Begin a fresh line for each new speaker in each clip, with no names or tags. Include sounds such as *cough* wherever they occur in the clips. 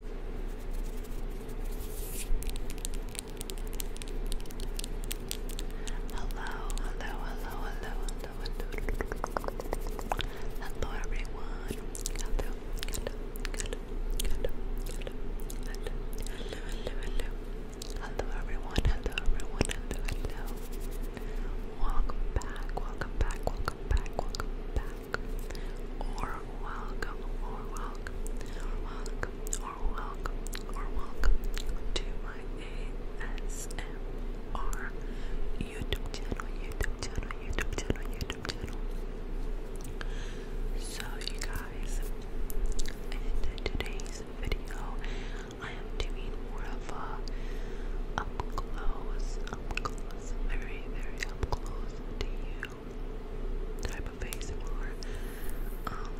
Hello, hello, hello, hello, hello, hello. Hello everyone. Hello, hello, hello, hello, hello, hello, hello, everyone, hello everyone, hello. Welcome back, welcome back, welcome back, welcome back back, or welcome, or welcome, or welcome, or welcome, or welcome to my ASMR YouTube channel, YouTube channel, YouTube channel, YouTube channel. So, you guys, in today's video, I am doing more of a up close, up close, very, very up close to you know, type of ASMR. Um,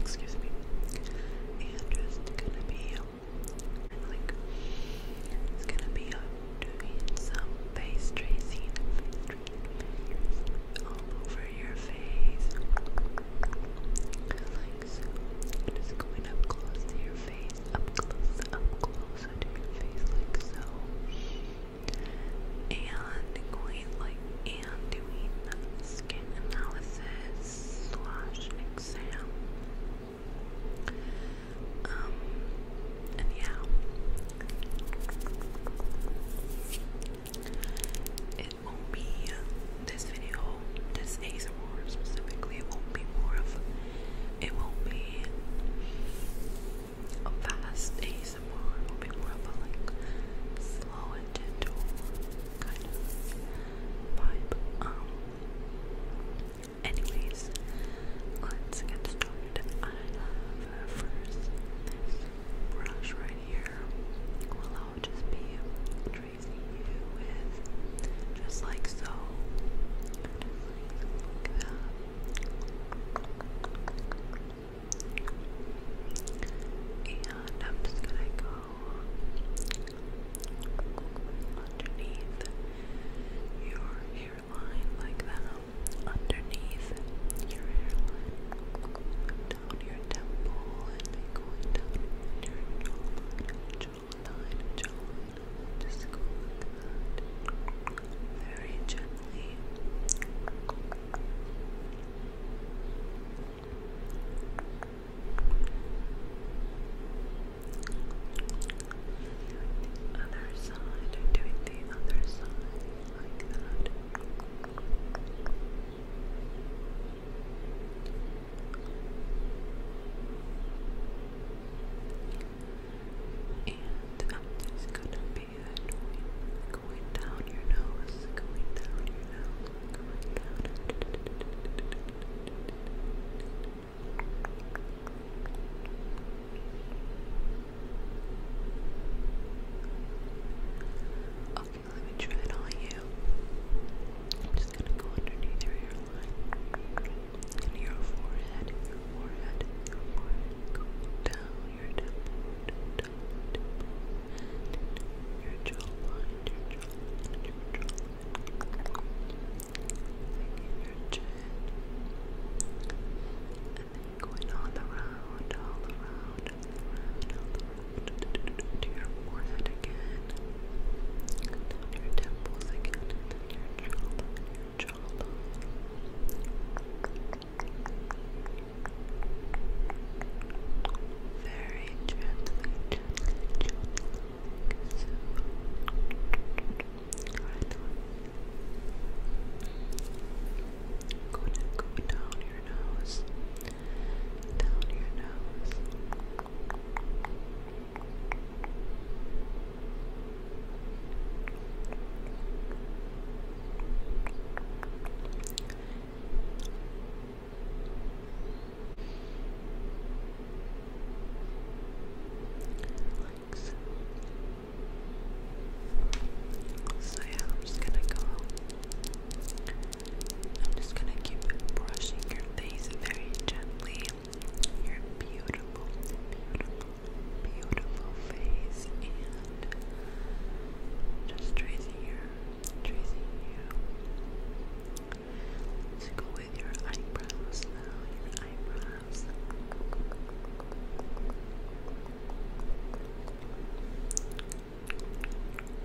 excuse me. And just gonna be like, it's gonna be doing some face tracing, all over your face, like Just going up close to your face up close, up closer to your face like so. And going like and doing skin analysis slash exam. Um and yeah. It won't be this video, this ASMR specifically, it won't be more of it won't be a fast ASMR, it will be more of like slow and gentle kind of vibe. Um anyways, let's get started. I have first brush right here. Well I'll just be tracing you with just like so like that. And I'm just gonna go underneath your hairline like that. Underneath your hairline. Down your temple and then going down your jawline jawline, jawline. Just go Very gently. other side, doing the other side like that. And I'm um, just gonna be going, down your nose, going down your nose, going down. Okay, let me try it on you. I'm just gonna go underneath your and your forehead, your forehead, your forehead, down your temple, your temple, your jawline, your jawline, your jawline, your chin, and then going all around, all around, around, all around, to your forehead again, and down your temples again, your jawline, Very gently, Go, down, your nose, down your nose. Relax. So yeah, I'm just gonna go. I'm just gonna keep brushing your face very gently your beautiful, beautiful, beautiful face and just tracing your, tracing you. Let's go with your eyebrows now, your eyebrows.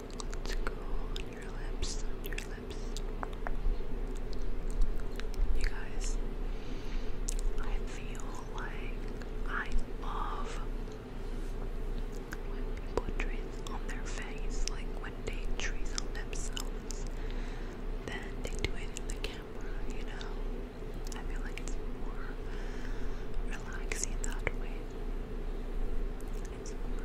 Let's go on your lips, on your lips. You guys, I feel like I love when people trace on their face, like when they trees on themselves, then they do it in the camera, you know? I feel like it's more relaxing that way. It's more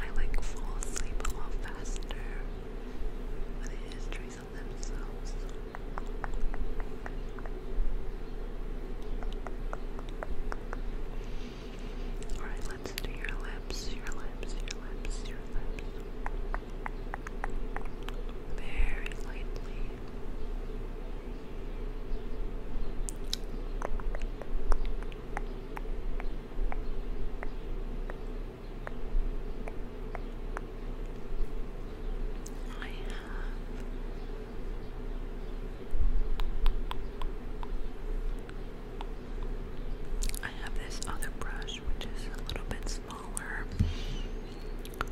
I like fall asleep a lot faster when it is trees themselves. Alright, let's do your lips, your lips, your lips, your lips very lightly. I have this other brush which is a little bit smaller.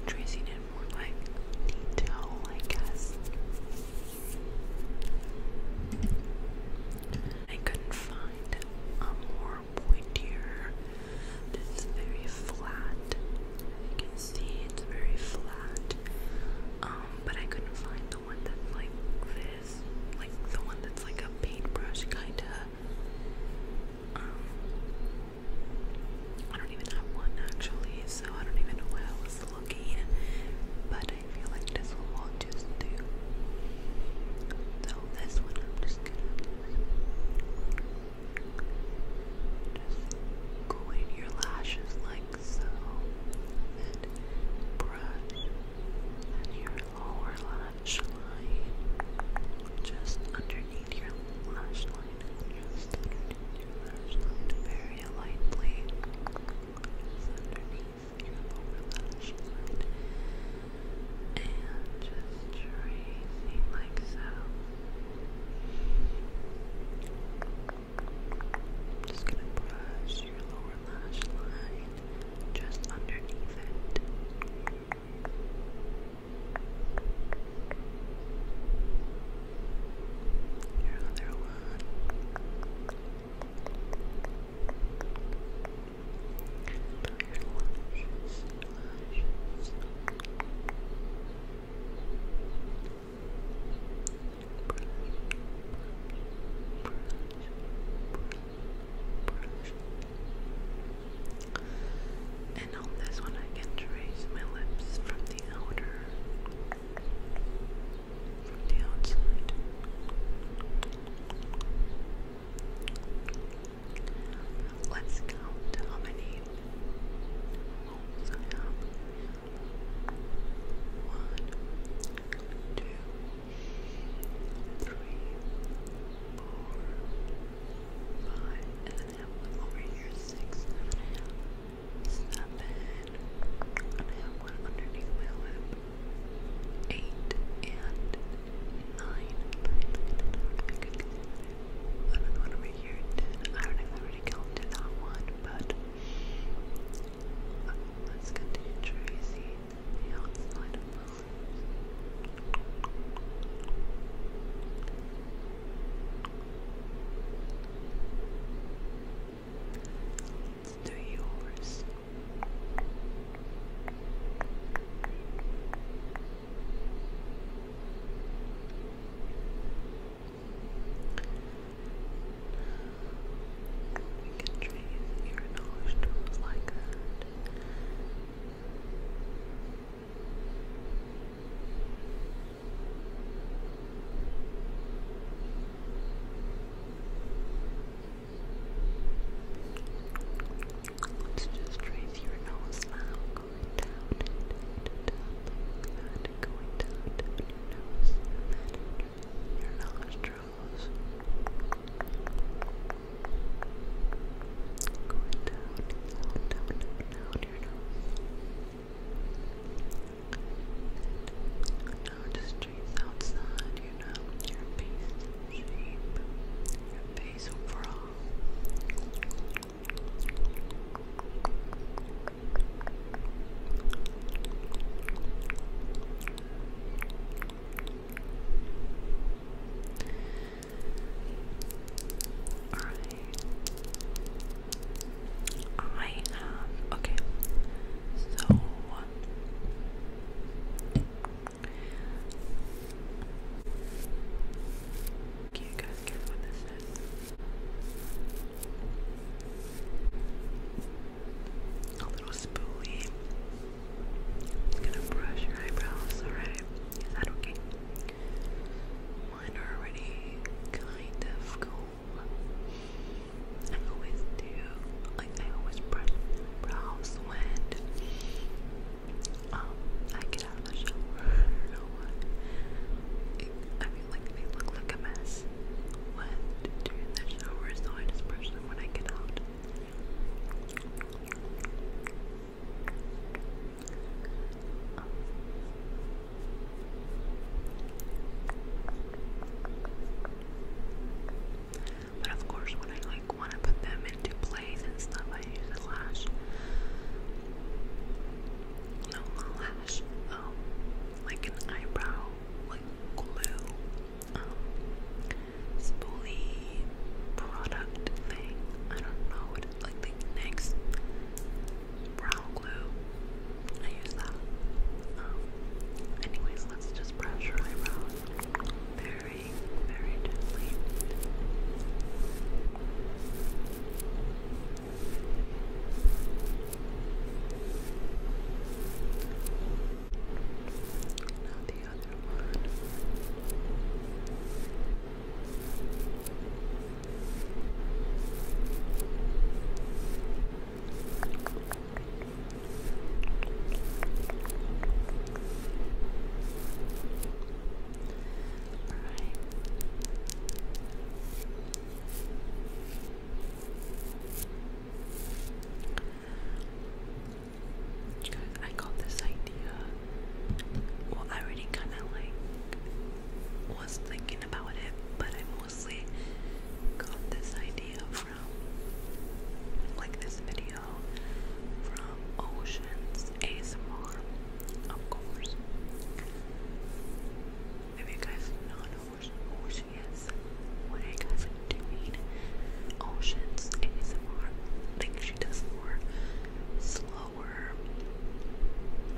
Tracing in more like detail, I guess. I couldn't find a more pointier. It's very flat. You can see it's very flat. Um, but I couldn't find the one that's like this, like the one that's like a paintbrush kinda um, I don't even have one actually, so I don't even know why I was looking. But I feel like this will just do. So this one I'm just gonna just go in your lashes like so, and brush and your lower lash line, just underneath your lash line, just underneath your lash line, very lightly, just underneath your lower lash line, and just tracing like so. I'm just gonna brush your lower lash line just underneath it. Another one. Lashes, lashes. Brush, brush, brush. And on this one, I can trace my lips from the outer, the outside. Let's count how many One, two, three, four, five, and then one over here, six, seven, I have one underneath my lip, eight, and nine. Another one over here, I don't know if I already that one, but let's continue tracing the outside of the Let's do yours. We can trace your nose like that. Let's just trace your nose now, going down, down, down, down, down, down, going down, down your nose, and then your nostrils nostrils. down, down, down, down your nose. Now just outside, you know, your face shape, your face overall. I I have okay. So can guys what this is? A little spoolie. Just gonna brush your eyebrows, alright? Is that okay? Mine are already kind of cool. I always do, like I always brush my brows when um, I get out of the shower. *laughs* I do like they look like a mess when during the shower, so I just brush them when I get out. But of course, when I like want to put them into plays and stuff, I use a lash. No, lash. Um, like an eyebrow, like glue um, spoolie product thing. I don't know what it, like the next brow glue. I use that. Um, anyways, let's just brush your eyebrows very, very gently. Now the other one. All right. Guys, I got this idea. Well, I already kind of like was thinking about it, but I mostly got this idea from like this video from Oceans ASMR, of course. If you guys not who she, who she is, doing, oceans, ASMR, like she does more slower,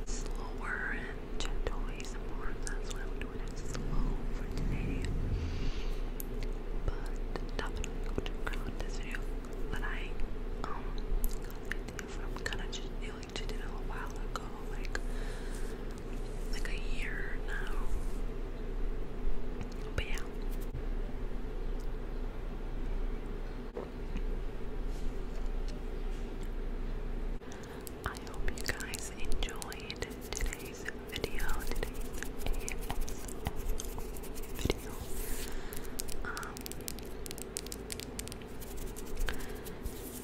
slower and gentle ASMR, that's why I'm doing it slow for today, but definitely go to ground this video, but I, um, got the from kind of like, she did ago, like like a year now. But yeah. I hope you guys enjoyed today's video, today's video. Um,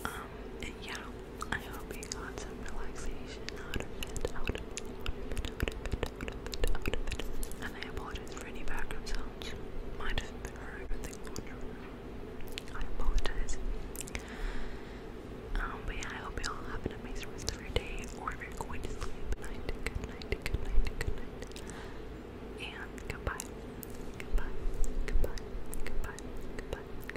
um, yeah, I hope you got some relaxation out of it, And I apologize for any background sounds. Might have been heard with the I apologize. Um, but yeah, I hope you all have an amazing rest of your day, or if you're night, good night, good night, good night, and goodbye, goodbye, goodbye, goodbye, goodbye.